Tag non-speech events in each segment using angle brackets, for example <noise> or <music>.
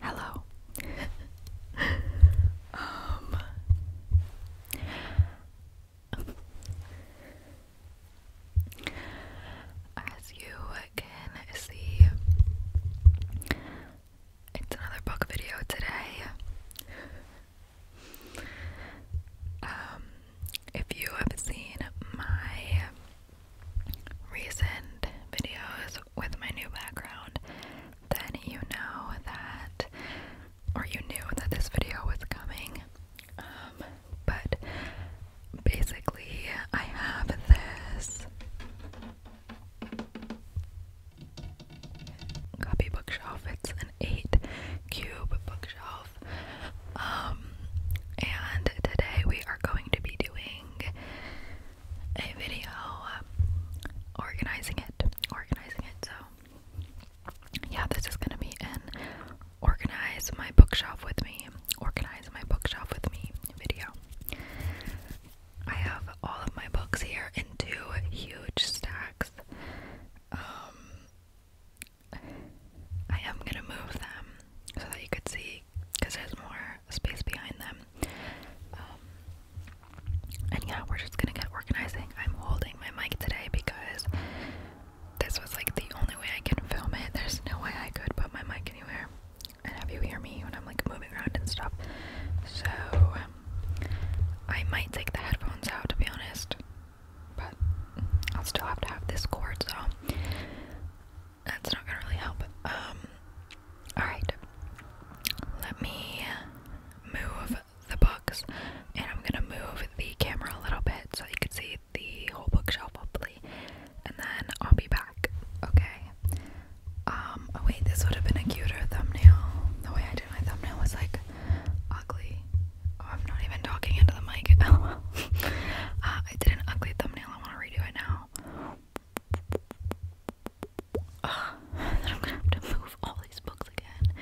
Hello. <laughs> Um, as you can see, it's another book video today. Um, if you have seen my recent videos with my new background, then you know that, or you knew that this video was coming. Um, but basically, I have this copy bookshelf. It's an eight cube bookshelf. Um, and today we are going to be doing a video uh, organizing it, organizing it. So, yeah, this is gonna be an organize my bookshelf with me, organize my bookshelf with me video. I have all of my books here in two huge stacks. Um, I am gonna move them so that you could see because there's more space behind them. Um, and yeah, we're just gonna get organizing. I'm holding my mic today because this was like the only way I can film it. There's no way I could put my mic anywhere and have you hear me when I'm like moving around and stuff. So I might take the headphones out to be honest. But I'll still have to have this cord, so that's not gonna really help. Um, alright. Let me move the books and I'm gonna move the camera a little bit so you can see the whole bookshelf, hopefully. And then I'll be back. Okay. Um, oh wait, this would have been a cuter thumbnail. The way I did my thumbnail was like ugly. Oh, I'm not even talking into the mic. <laughs> Uh, I did an ugly thumbnail. I want to redo it now. <laughs> then I'm gonna have to move all these books again.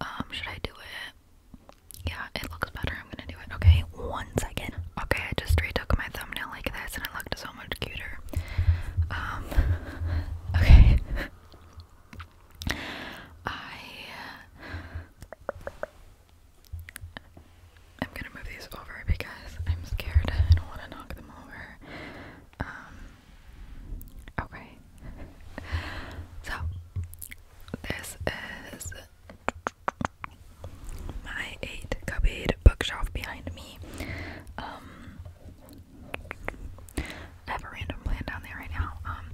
Um, should I do it? Yeah, it looks better. I'm gonna do it. Okay, one second. Okay, I just retook my thumbnail like this, and it looked so much cuter. Um, <laughs> okay. I am uh, gonna move these over because I'm scared. I don't want to knock them over. Um, okay. so this is my eight cupboard bookshelf behind me. Um, I have a random plant down there right now. Um,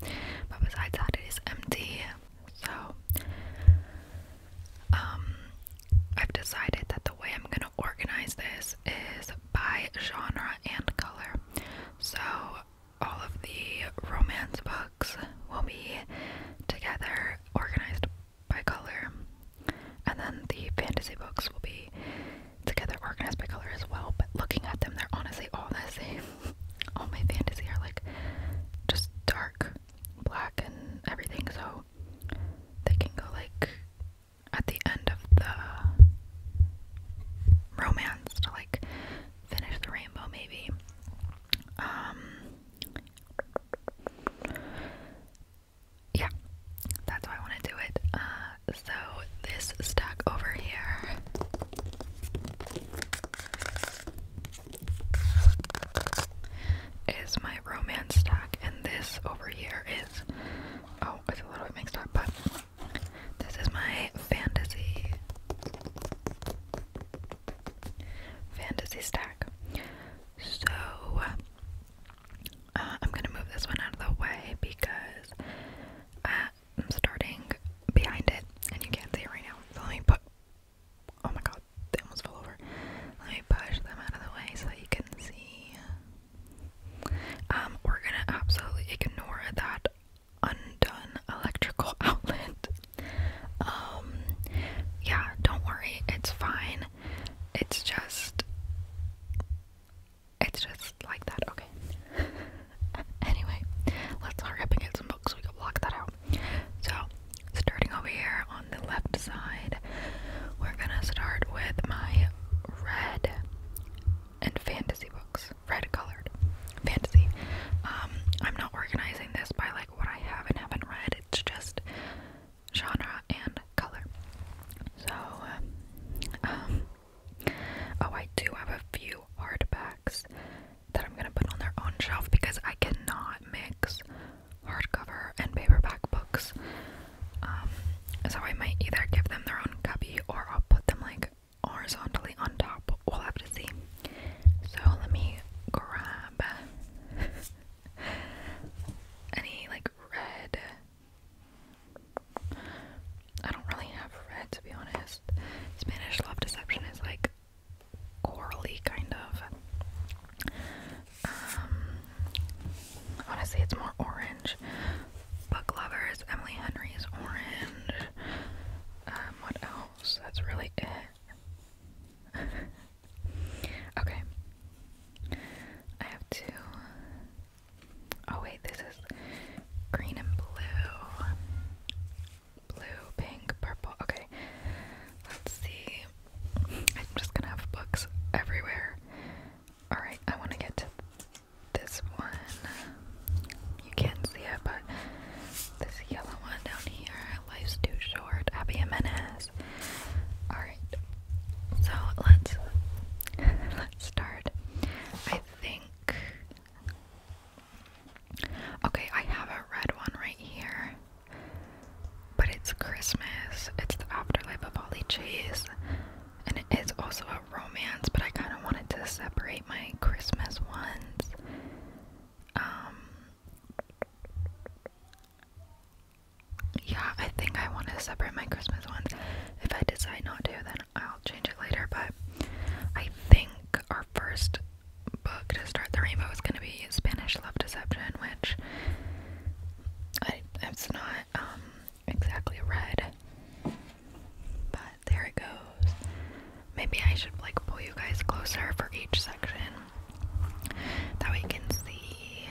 but besides that, it is empty. So, um, I've decided that the way I'm gonna organize this is by genre and color. So, all of the romance books will be together, organized by color, and then the fantasy books will be together, organized by color as well. But looking at them, they're honestly all the <laughs> same all my fantasy are like just dark black and everything, so they can go like at the end of the romance to like finish the rainbow, maybe. Um, yeah, that's why I want to do it. Uh, so this stack over here is my romance stack, and this over here is oh, it's a little mixed up, but this is my fantasy fantasy stack. So uh, I'm gonna move this one out of the way because uh, I'm starting behind it, and you can't see it right now. let me put. Oh my god, they almost fell over. Let me push them out of the way so you can see. Um, we're gonna absolutely ignore that undone electrical <laughs> outlet. Um, yeah, don't worry, it's fine. It's just. It's just like that, okay. <laughs> <laughs> anyway, let's hurry up and get some books so we can block that out. So, starting over here on the left side, we're gonna start with my red and fantasy books, red colored fantasy. Um, I'm not organizing this by like what I have and haven't read, it's just genre and color. So, um, Oh, I do have a few hardbacks that I'm gonna put on their own shelf because I cannot mix hardcover and paperback books. Um, so I might either give them their own cubby or I'll put them like horizontally on top. We'll have to see. So let me grab <laughs> any like red. I don't really have red to be honest. Spanish love deception is like corally kind of. Um, honestly, it's more orange. Bug lovers, Emily Henry is orange. Um, what else? That's really it. <laughs> okay. I have to. Oh wait, this is green and blue. Blue, pink, purple. Okay, let's see. I'm just gonna have books everywhere. Alright, I want to get to this one. You can't see it, but this yellow one down here. Life's too short. Abby Jimenez. Alright, so let's <laughs> let's start. I think Okay, I have a red one right here. But it's Christmas. It's the afterlife of Ollie Chase. And it is also a romance, but I kind of wanted to separate my Christmas ones. Um, yeah, I think I want to separate my Christmas ones. If I decide not to, then I'll change it later, but I think our first book to start the rainbow is going to be Spanish Love Deception, which I, it's not um, exactly red, but there it goes. Maybe I should like pull you guys closer for each section. That we can see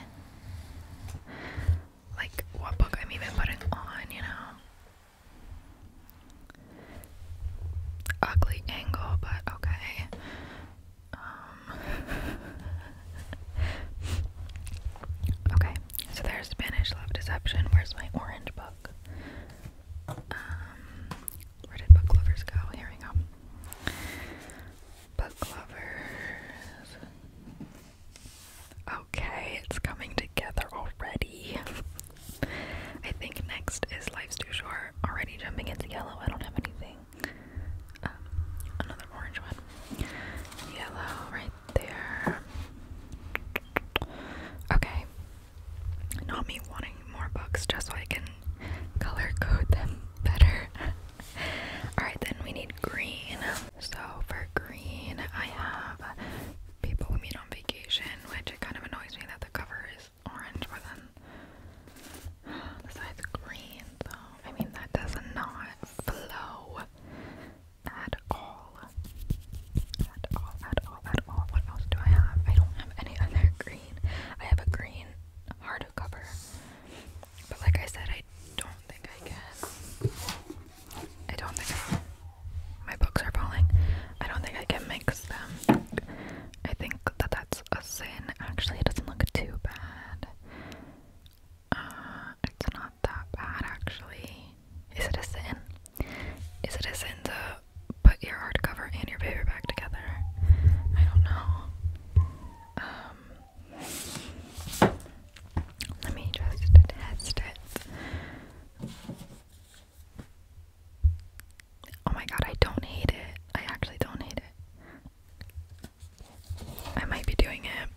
like what book I'm even putting on, you know. Ugly angle, but okay. Um, <laughs> okay, so there's Spanish Love Deception. Where's my orange book? Um, where did book lovers go? Here we go. Book lovers. Oh, Okay, it's coming together already. I think next is Life's Too Short. Already jumping into yellow. I don't have anything. Um, another orange one. Yellow right there. Okay. Not me wanting more books just so I can color code them <laughs> better. Alright, then we need green. So for green, I have People We Meet on Vacation which it kind of annoys me that the cover is orange, but then <sighs> the green, so I mean, that does not flow at all. At all, at all, at all. What else do I have? I don't have any other green. I have a green hardcover, but like I said, I don't think I can I don't think my books are falling. I don't think I can mix them. I think that that's a sin. Actually, it doesn't look too bad. Uh, it's not that bad, actually. Is it a sin? Is it a sin to put your hardcover and your paperback together? I don't know. Um, let me just test it. Oh my god, I don't hate it. I actually don't hate it. I might be doing it.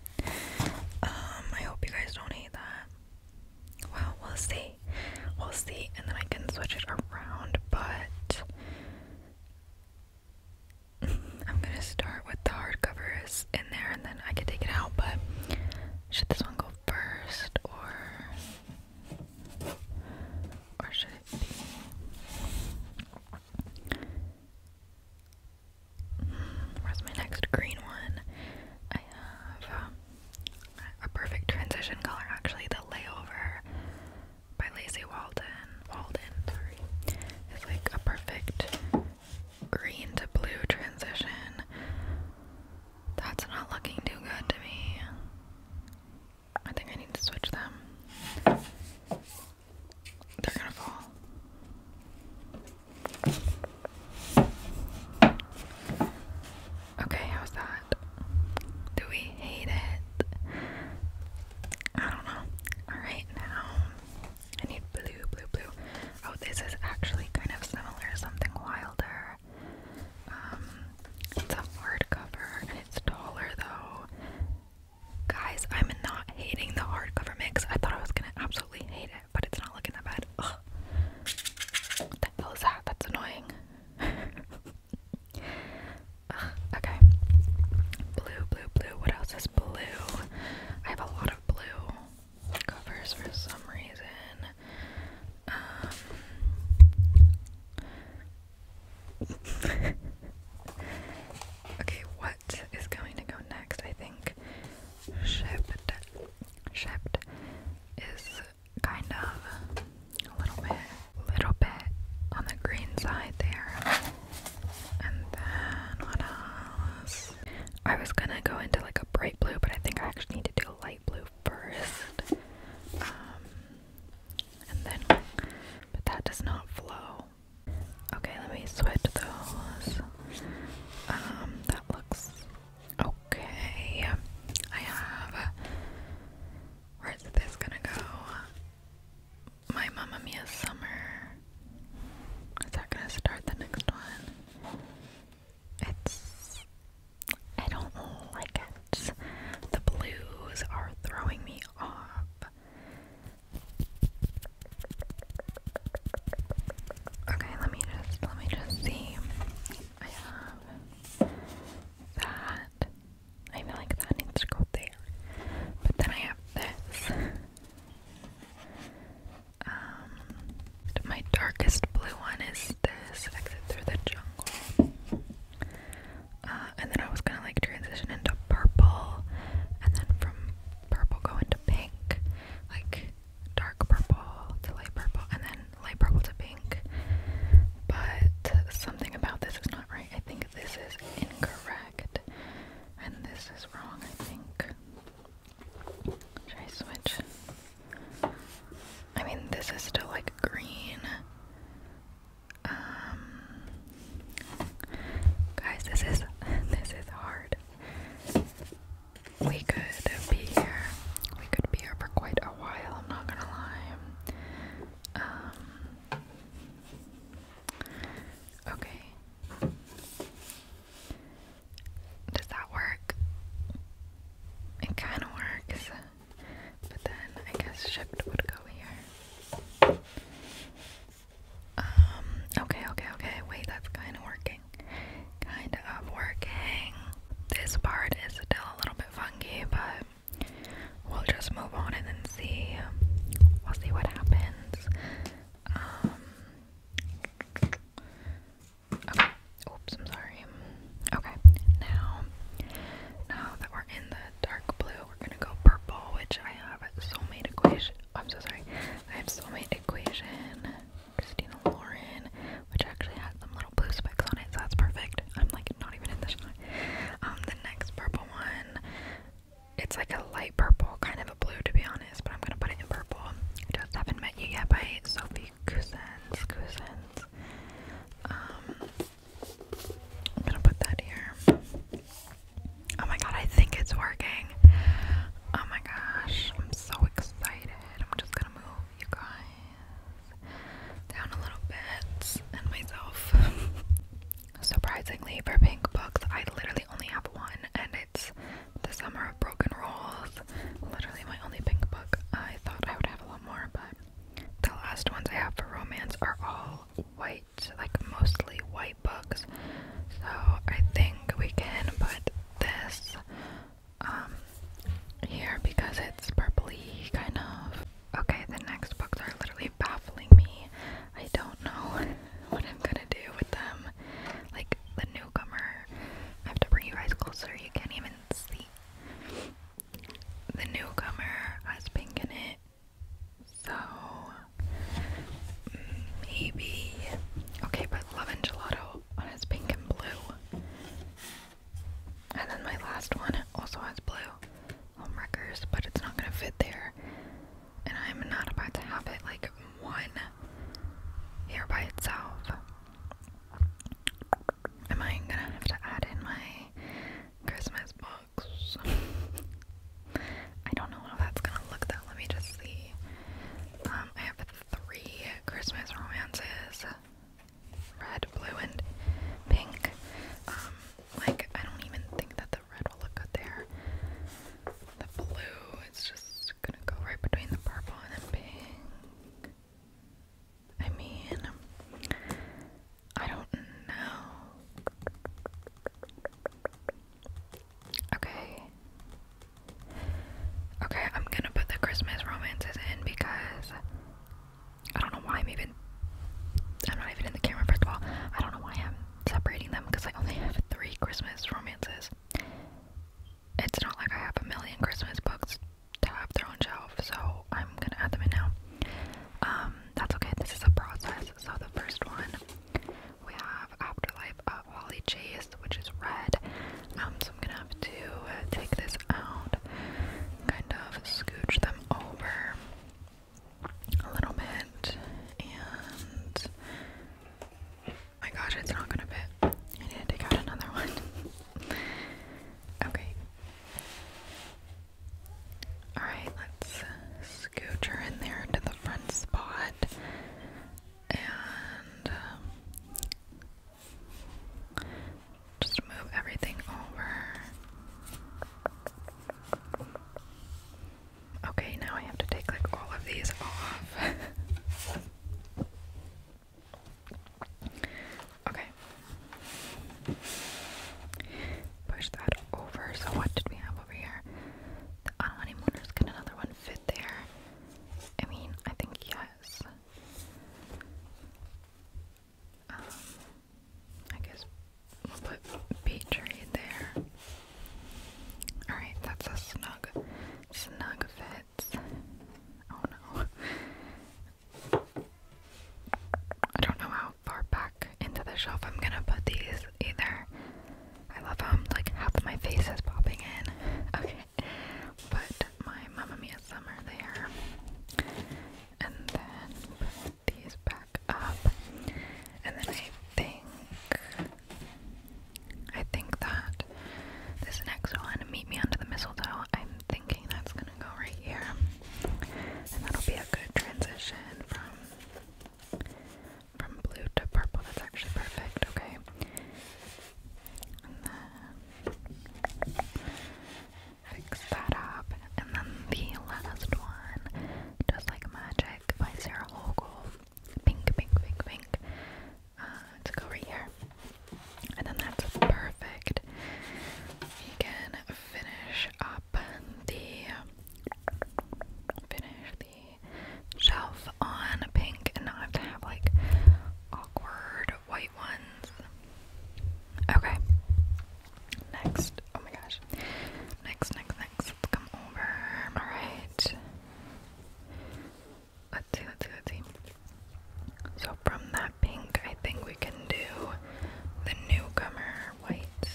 Um, I hope you guys don't hate that. Well, we'll see. We'll see, and then I can switch it around, but <laughs> I'm gonna start with the is in there and then I can take it out, but should this one go first, or or should it be? Hmm, where's my next green one? I have um, a perfect transition color, actually. The layover by Lacy Walden. Walden, three. is like a perfect green to blue transition. That's not looking too good to me. I think I need to switch them. They're gonna fall. Okay, how's that? Do we hate it? I don't know. Alright, now I need blue, blue, blue. Oh, this is actually kind of similar to something wilder. Um, it's a hardcover and it's taller though. Guys, I'm not hating the hardcover mix. I thought I was gonna absolutely hate it, but it's not looking that bad. What the hell is that? That's annoying. <laughs> okay. Blue, blue, blue. What else is blue? I have a lot of blue covers for some reason. Um, <laughs> okay, what is going to go next? I think Shept, Shept is kind of a little bit, little bit on the green side there. And then what else? I was gonna go into like a bright blue, but I think I actually do light blue first. Um, and then, but that does not flow. Okay, let me switch those. Um, that looks okay. I have. Where's this gonna go? My Mamma Mia Summer. Is that gonna start the next one? It's. I don't like it. The blues are throwing me off. Okay, let me just let me just see. I have that. I feel like that needs to go there. But then I have this. Um, my darkest blue one is this Exit Through the Jungle. Uh, and then I was gonna like transition into purple, and then from purple go into pink, like dark purple to light purple, and then light purple to pink. But something about this is not right. I think this is incorrect, and this is wrong, I think. Should I switch? I mean, this is still like green. Um, guys, this is <laughs> this is hard. We could be here. We could be here for quite a while. I'm not gonna lie. Um. Okay. Does that work? It kind of works, but then I guess shipped would go here. Um, okay, okay, okay. Wait, that's kind of working. Kind of working. This part is still a little bit funky, but we'll just move on and then see. We'll see what happens. Um, Oops, I'm sorry. Okay, now, now that we're in the dark blue, we're gonna go purple, which I have soulmate equation. Oh, I'm so sorry. I have soulmate equation, Christina Lauren, which actually has some little blue specks on it, so that's perfect. I'm like not even in the shot. Um, the next purple one, it's like a light purple, kind of a blue to be honest but I'm gonna put it in purple. I just haven't met you yet by Sophie Cousins. Um, I'm gonna put that here. Oh my god, I think it's working. Oh my gosh, I'm so excited. I'm just gonna move you guys down a little bit and myself. <laughs> Surprisingly, for pink books, I literally only have one, and it's the Summer of Broken Rules. Literally my only pink book. I thought I would have a lot more, but the last ones I have for romance are all white, like mostly white books. So I think we can put this um here because it's purpley kind of. Okay, the next books are literally baffling me. I don't know <laughs> what I'm gonna do with them like the newcomer. I have to bring you guys closer, you can't even see. The newcomer has pink in it, so maybe. Okay, but Love and Gelato has pink and blue. And then my last one also has blue. Homewreckers, but it's not gonna fit there. And I'm not about to have it like one here by itself. Am I gonna have to add in my Christmas box? I don't know how that's gonna look though. Let me just see. Um, I have three Christmas romances red, blue, and pink. Um, like, I don't even think that the red will look good there. The blue it's just gonna go right between the purple and the pink. I mean, I don't know. Okay. Okay, I'm gonna put the Christmas romances in because I don't know why I'm even. I'm not even in the camera, first of all. I don't know why I'm separating them because I only have three Christmas romances it's not like I have a million Christmas books to have their own shelf, so I'm gonna add them in now. Um, that's okay, this is a process. So the first one we have Afterlife of Holly Chase, which is red. Um, so I'm gonna have to take this out, kind of scooch them over a little bit, and my gosh, it's not gonna fit. I need to take out another <laughs> one. okay. Alright, let's scooch her in there to the front spot. And um, just move everything over. Okay, now I have to take like all of these off. <laughs> okay. Push that over. So what did we have over here? The honeymooners. Can another one fit there? I mean, I think yes. Um, I guess we'll put beach right there. Alright, that's a snug snug fits. Oh no. I don't know how far back into the shelf I'm gonna put these either. I love how like half my face is popping in. <laughs> Okay. But my Mamma Mia Summer there. And then put these back up. And then I think I think that this next one, Meet Me Under the Mistletoe, I'm thinking that's gonna go right here. And that'll be a good transition from from blue to purple. That's actually perfect, okay. And then fix that up. And then the last one, Just Like Magic by Sarah Hochul pink, pink, pink, pink. let's uh, go right here. And then that's perfect. We can finish up the finish the shelf on pink and not have to have like awkward white ones. Okay. Next. Oh my gosh. Next, next, next. come over. Alright. Let's see, let's see, let's see. So from that pink, I think we can do the newcomer white.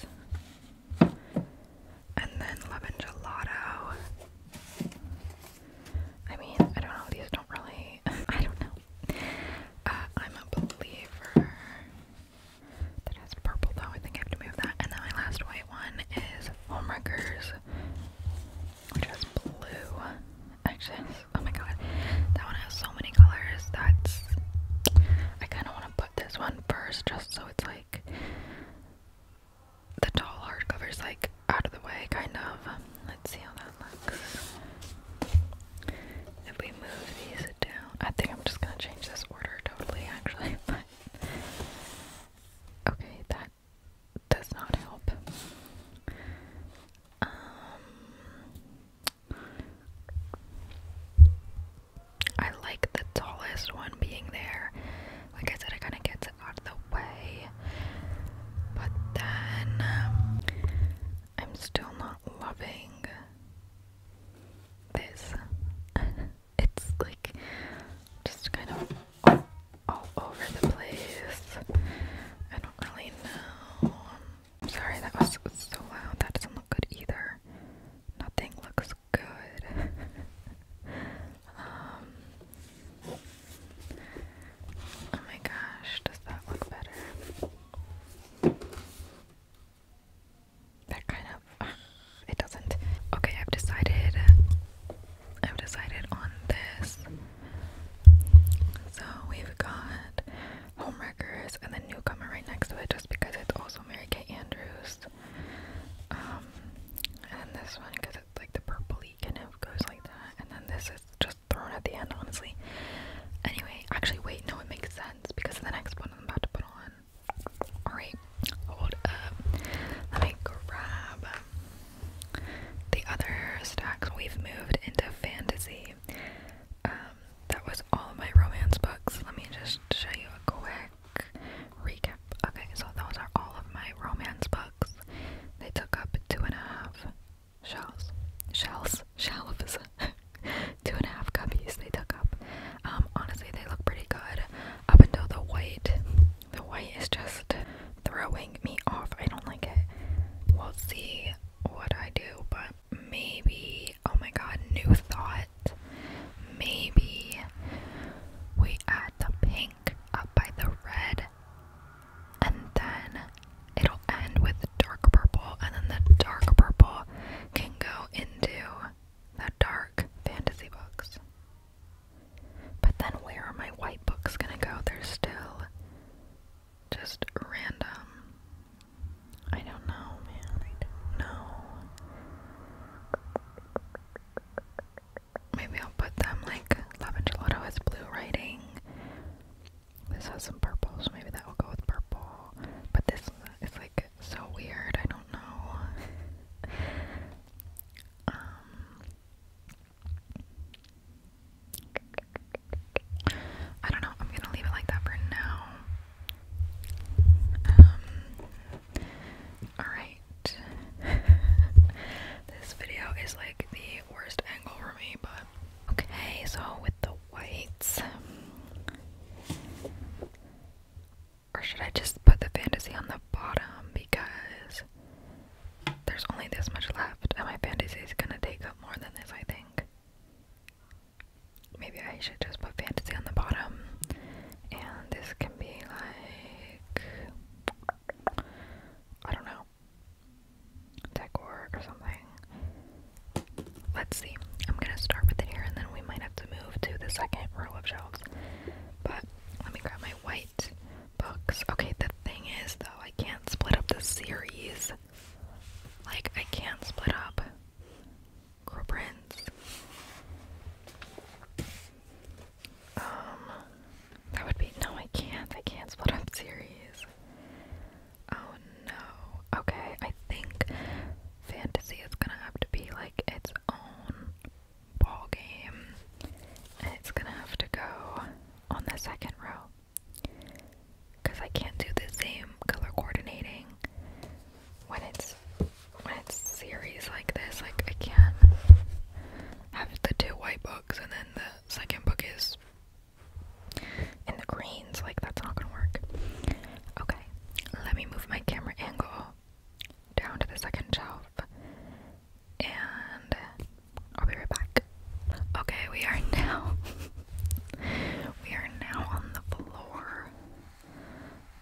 And then lemon gelato. I mean, I don't know, these don't really, <laughs> I don't know. Uh, I'm a believer that has purple though, I think I have to move that. And then my last white one is Homewreckers box, blue. Actually, oh my god, that one has so many colors. That's I kind of want to put this one first, just so it's like the tall hardcover's like out of the way, kind of. Let's see how that looks. If we move these down, I think I'm just gonna change this order totally, actually. <laughs> But Okay, that does not help. Um, I like the tallest one being there. Like I said, it kind of gets it out of the way. But then I'm still not loving this. <laughs> it's like just kind of all, over the place. I don't really know. am sorry that was so loud. That doesn't look good either. Nothing looks good. um. Oh my gosh, does that look better? That kind of it doesn't. Okay, I've decided. I've decided on this. So we've got Homewreckers and then Newcomer right next to it, just because it's also Mary Kay Andrews. Um, and then this one because it's like the purpley kind of goes like that, and then this is just thrown at the end, honestly. Anyway, actually, wait, no, it makes sense because the next one I'm about to put on Alright, hold up. Let me grab the other stacks. We've moved into fantasy. Um, that was all of my romance books. Let me just show you a quick recap. Okay, so those are all of my romance books. They took up two and a half shelves. Shelves? Shelves. <laughs> two and a half cubbies they took up. Um, honestly, they look pretty good up until the white. The white is just throwing me off. I don't like it. We'll see what I do, but maybe. Oh my god, new thought. Maybe we add the pink up by the red, and then it'll end with the dark purple, and then the dark purple can go into the dark fantasy books. But then where are my white books gonna go? They're still just random. I don't know, man. I Maybe I'll put them like Love and Gelato has blue writing. This has some purple, so maybe that will go with purple. But this is like so weird. I don't know. <laughs> Um, I don't know. I'm gonna leave it like that for now. Um, alright. <laughs> this video is like the worst angle for me, but okay, so with the whites. Or should I just put the fantasy on the bottom because there's only this much left and my fantasy is gonna take up more than this, I think. Maybe I should just put fantasy on the bottom and this can be like. I don't know. Decor or something. Let's see. I'm gonna start with it here and then we might have to to move to the second row of shelves. But let me grab my white books. Okay, the thing is, though, I can't split up the series. Like, I can't split up Crow Prince. Um, that would be. No, I can't. I can't split up series. Oh no. Okay, I think fantasy is gonna have to be like its own ball game, and it's gonna have to go on the second row because I can't do the same color coordinating when it's when it's series like this. Like I can't have the two white books and then the second book is in the greens. Like that's not gonna work. Okay, let me move my camera angle down to the second shelf and I'll be right back. Okay, we are <laughs> now we are now on the floor.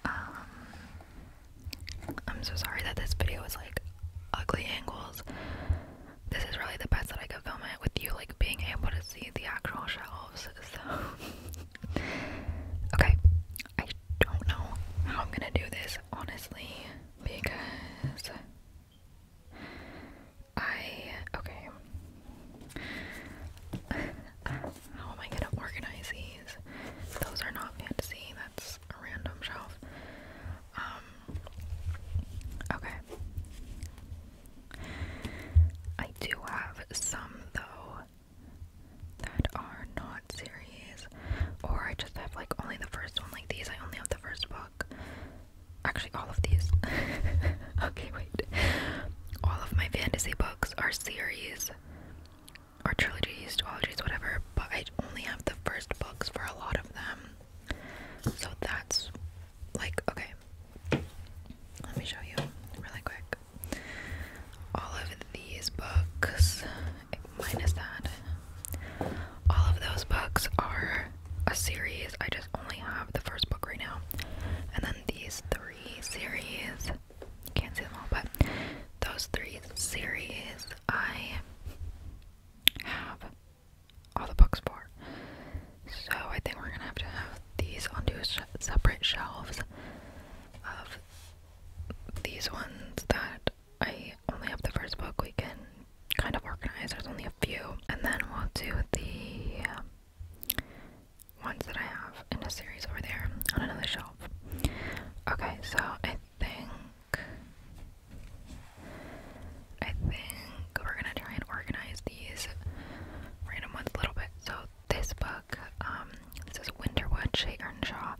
Um I'm so sorry that this video is like ugly angles. This is really the best that I could film it with you like being able to see the actual shelves. <laughs> So Okay, I don't know how I'm gonna do this, honestly, because I. Okay. how am I gonna organize these? Those are not fantasy, that's a random shelf. Um. Okay. I do have some, though, that are not series, or I just have like only the first one, like these. I only have the first book. Actually, all of these. <laughs> okay, wait. All of my fantasy books are series are trilogies, duologies, whatever, but I only have the first books for a lot of them. So that's like, okay. Let me show you really quick all of these books, minus that, all of those books are a series. I just only have the first book right now. And then these three series, you can't see them all, but those three series I have all the books for. So I think we're gonna have to have these onto separate shelves these ones that I only have the first book we can kind of organize. There's only a few. And then we'll do the um, ones that I have in a series over there on another shelf. Okay, so I think I think we're gonna try and organize these random ones a little bit. So this book um, this is Winterwood, Shay Earnshaw.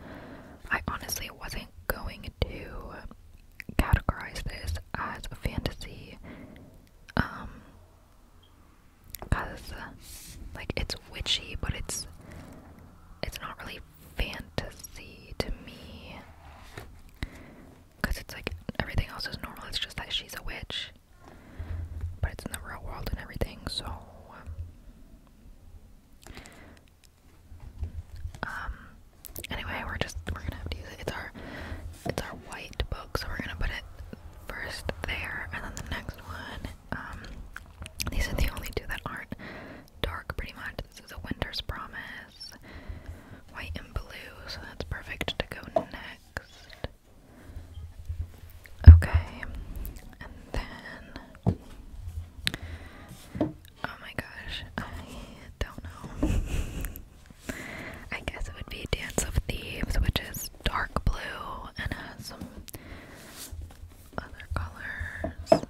I honestly wasn't going to categorize this as a fantasy, um, because like it's witchy, but it's it's not really fantasy to me, because it's like everything else is normal. It's just that she's a witch, but it's in the real world and everything, so. Um, um anyway, we're just we're gonna have to use it. It's our it's our white book, so we're gonna put it first there and then the next one. Um these are the only two that aren't dark pretty much. This is a winter's promise. White and blue, so that's perfect to go next. Okay, and then oh my gosh, I don't know. <laughs> I guess it would be Dance of Thieves, which is dark blue and has some other colors.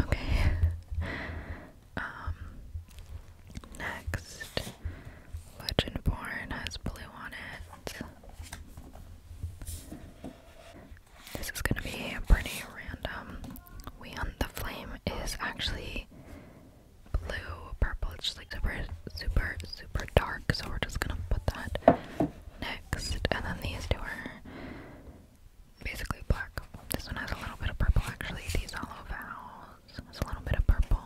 Okay. Um next Legendborn has blue on it. This is gonna be pretty random. We on the Flame is actually blue, purple, it's just like super, super, super dark, so we're just gonna put that next. And then these two are basically black. This one has a little bit of purple actually, these hollow vowels has a little bit of purple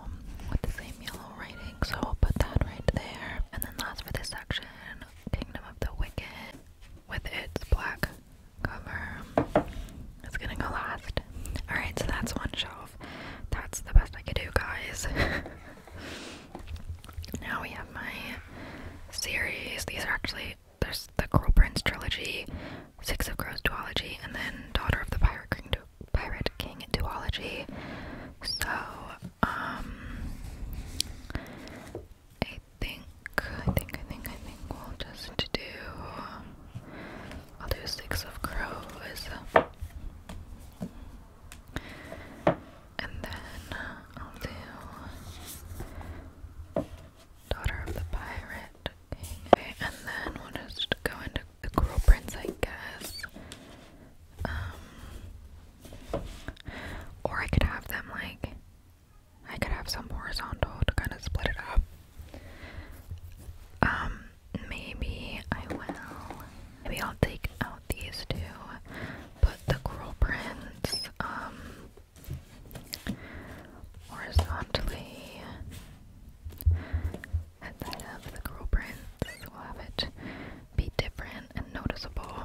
with the same yellow writing so I'll put that right there. And then last for this section, Kingdom of the Wicked with its black cover. It's gonna go last. Alright, so that's one shelf. That's the best I could do, guys. <laughs> now we have my series. These are actually there's the Cruel Prince trilogy, Six of Crows duology, and then Daughter of the Pirate King, du Pirate King duology. So um, I think, I think, I think, I think we'll just do, I'll do six of crows, and then I'll do daughter of the pirate, okay, and then we'll just go into the cruel prince, I guess. Um, or I could have them like, I could have some horizontal to kind of split it up. Um, maybe I will. Maybe I'll take out these two, put the coral prints, um, horizontally. At of the coral prints, we'll have it be different and noticeable.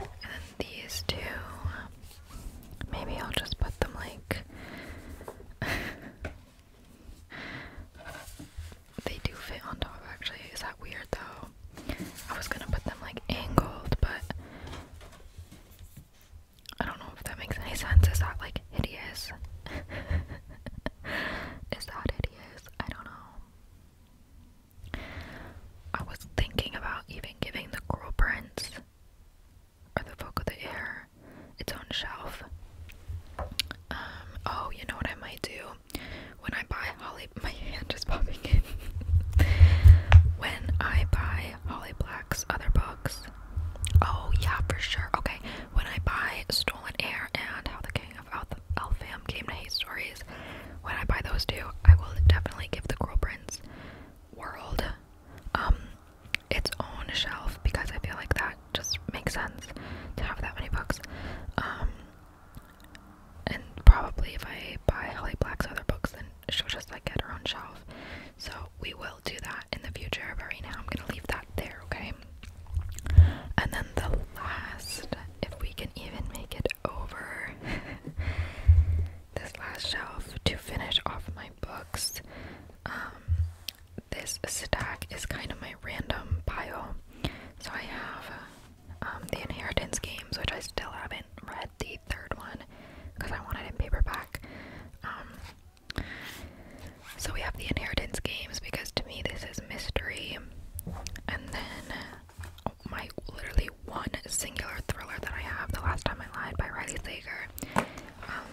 And then these two, maybe I'll just put them like. <laughs> they do fit on top, actually. Is that weird though? I was gonna put them like angled, but I don't know if that makes any sense. Is that like hideous? <laughs> Is that hideous? I don't know. I was thinking about even giving the Coral Prince or the Book of the Air its own shelf. Um, oh, you know what I might do? When I buy Holly, <laughs> my hand is popping when I buy Holly Black's other books, oh yeah, for sure. Okay, when I buy Stolen Air and How the King of Alpha Elfam Game Night Stories. When I buy those two, I will definitely give the Girl Prince World um, its own shelf because I feel like that just makes sense to have that many books. Um, and probably if I buy Holly Black's other books, then she'll just like get her own shelf. So we will do that in the future. But right now, I'm gonna leave that there, okay? And then the last, if we can even make it over <laughs> this last shelf to finish off my books, um, this stack is kind of my random pile. So I have um, the Inheritance games, which I still haven't read the third one because I want it in paperback. Um, so we have the Inheritance games because to me this is mystery and then oh, my literally one singular thriller that I have, The Last Time I Lied by Riley Sager. Um,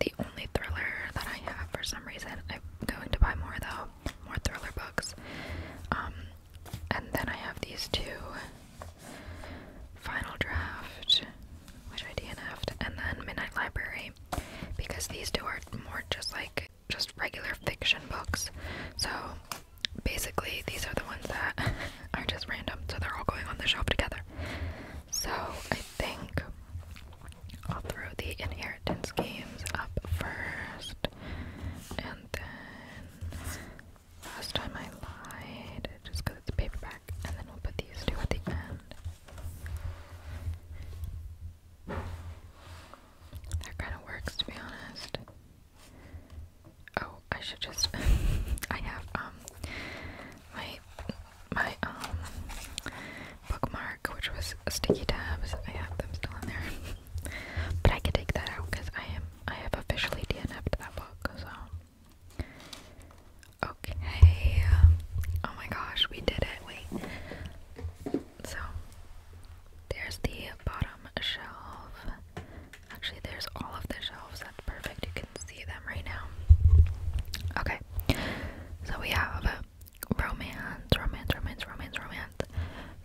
the only thriller that I have for some reason. I'm going to buy more though, more thriller books. Um, and then I have these two Final Draft, which I DNF'd, and then Midnight Library, because these two are more just like just regular fiction books. So basically, these are the ones that <laughs> are just random, so they're all going on the shelf together. So I think I'll throw the inheritance games up first, and then last time I lied just because it's a paperback, and then we'll put these two at the end. That kind of works, to be honest. Oh, I should just. <laughs> I have um my my um bookmark, which was sticky tabs. I have them still in there, but I could take that out because I am I have officially DNF'd that book. So okay. Oh my gosh, we did it! Wait. So there's the bottom shelf. Actually, there's all of the shelves. That's perfect. You can see them right now. Okay. So we have romance, romance, romance, romance, romance,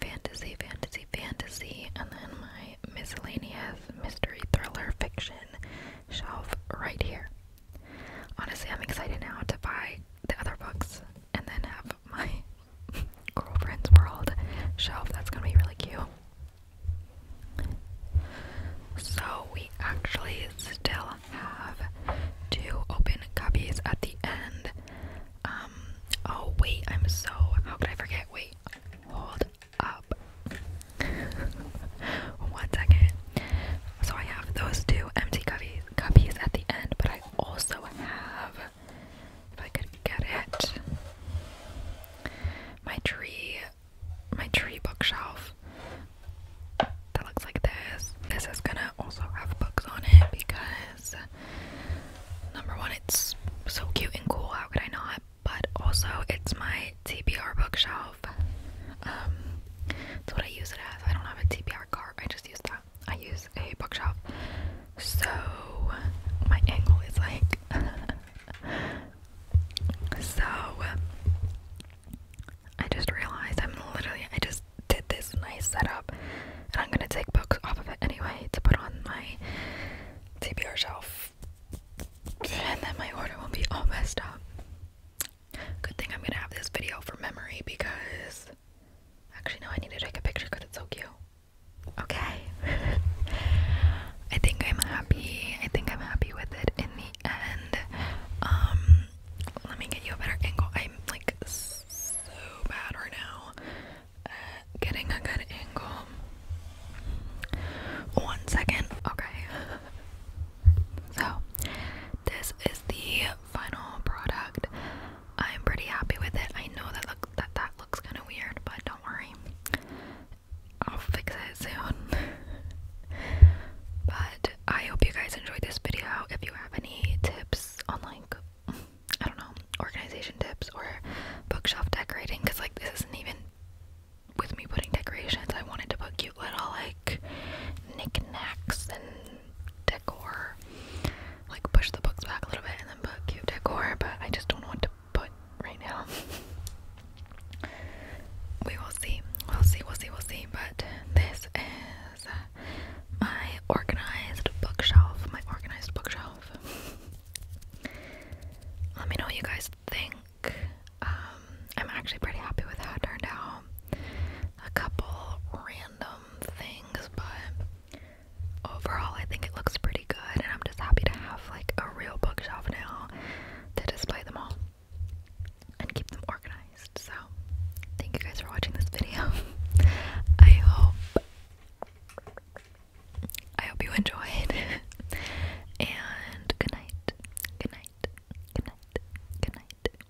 fantasy, fantasy, fantasy, and then my miscellaneous mystery thriller fiction shelf right here. Honestly, I'm excited now to buy the other books and then have my <laughs> girlfriend's world shelf. That's gonna be really cute. So we actually still have two open cubbies at the end. Um oh wait, I'm so how could I forget? Wait, hold up. <laughs> One second. So I have those two empty cubbies cubbies at the end, but I I also have, if I could get it, my tree, my tree bookshelf that looks like this. This is gonna also have books on it because number one, it's so cute and cool. How could I not? But also, it's my TBR bookshelf. that's um, what I use it as. I don't have a TBR cart. I just use that I use a bookshelf, so my angle is like <laughs> so. I just realized I'm literally I just did this nice setup, and I'm gonna take books off of it anyway to put on my TBR shelf, and then my order will be all messed up. Good thing I'm gonna have this video for memory because Actually, no, I need to take a picture because it's so cute. Okay. <laughs> I think I'm happy. I think I'm happy with it in the end. Um, let me get you a better angle. I'm like so bad right now getting a good angle. One second. Okay. <laughs> So, this is the final product. I'm pretty happy with it. I know that look that that looks kind of weird, but don't worry. I'll fix it soon. <laughs> but I hope you guys enjoyed this video. If you have any tips on like I don't know, organization tips or bookshelf decorating cuz like this isn't even with me putting decorations. I wanted to put cute little like knickknacks and decor. Like push the books back a little bit and then put cute decor, but I just don't know what to put right now. <laughs> we will see. We'll see, we'll see, we'll see. But this is my organized bookshelf. My organized bookshelf. <laughs> Let me know what you guys think. Um, I'm actually pretty happy with how it turned out. A couple random things, but overall I think it looks pretty good and I'm just happy to have like a real bookshelf now to display them all and keep them organized. So thank you guys for watching this video. <laughs> I hope I hope you enjoyed <laughs> and good night. Good night. Good night. Good night.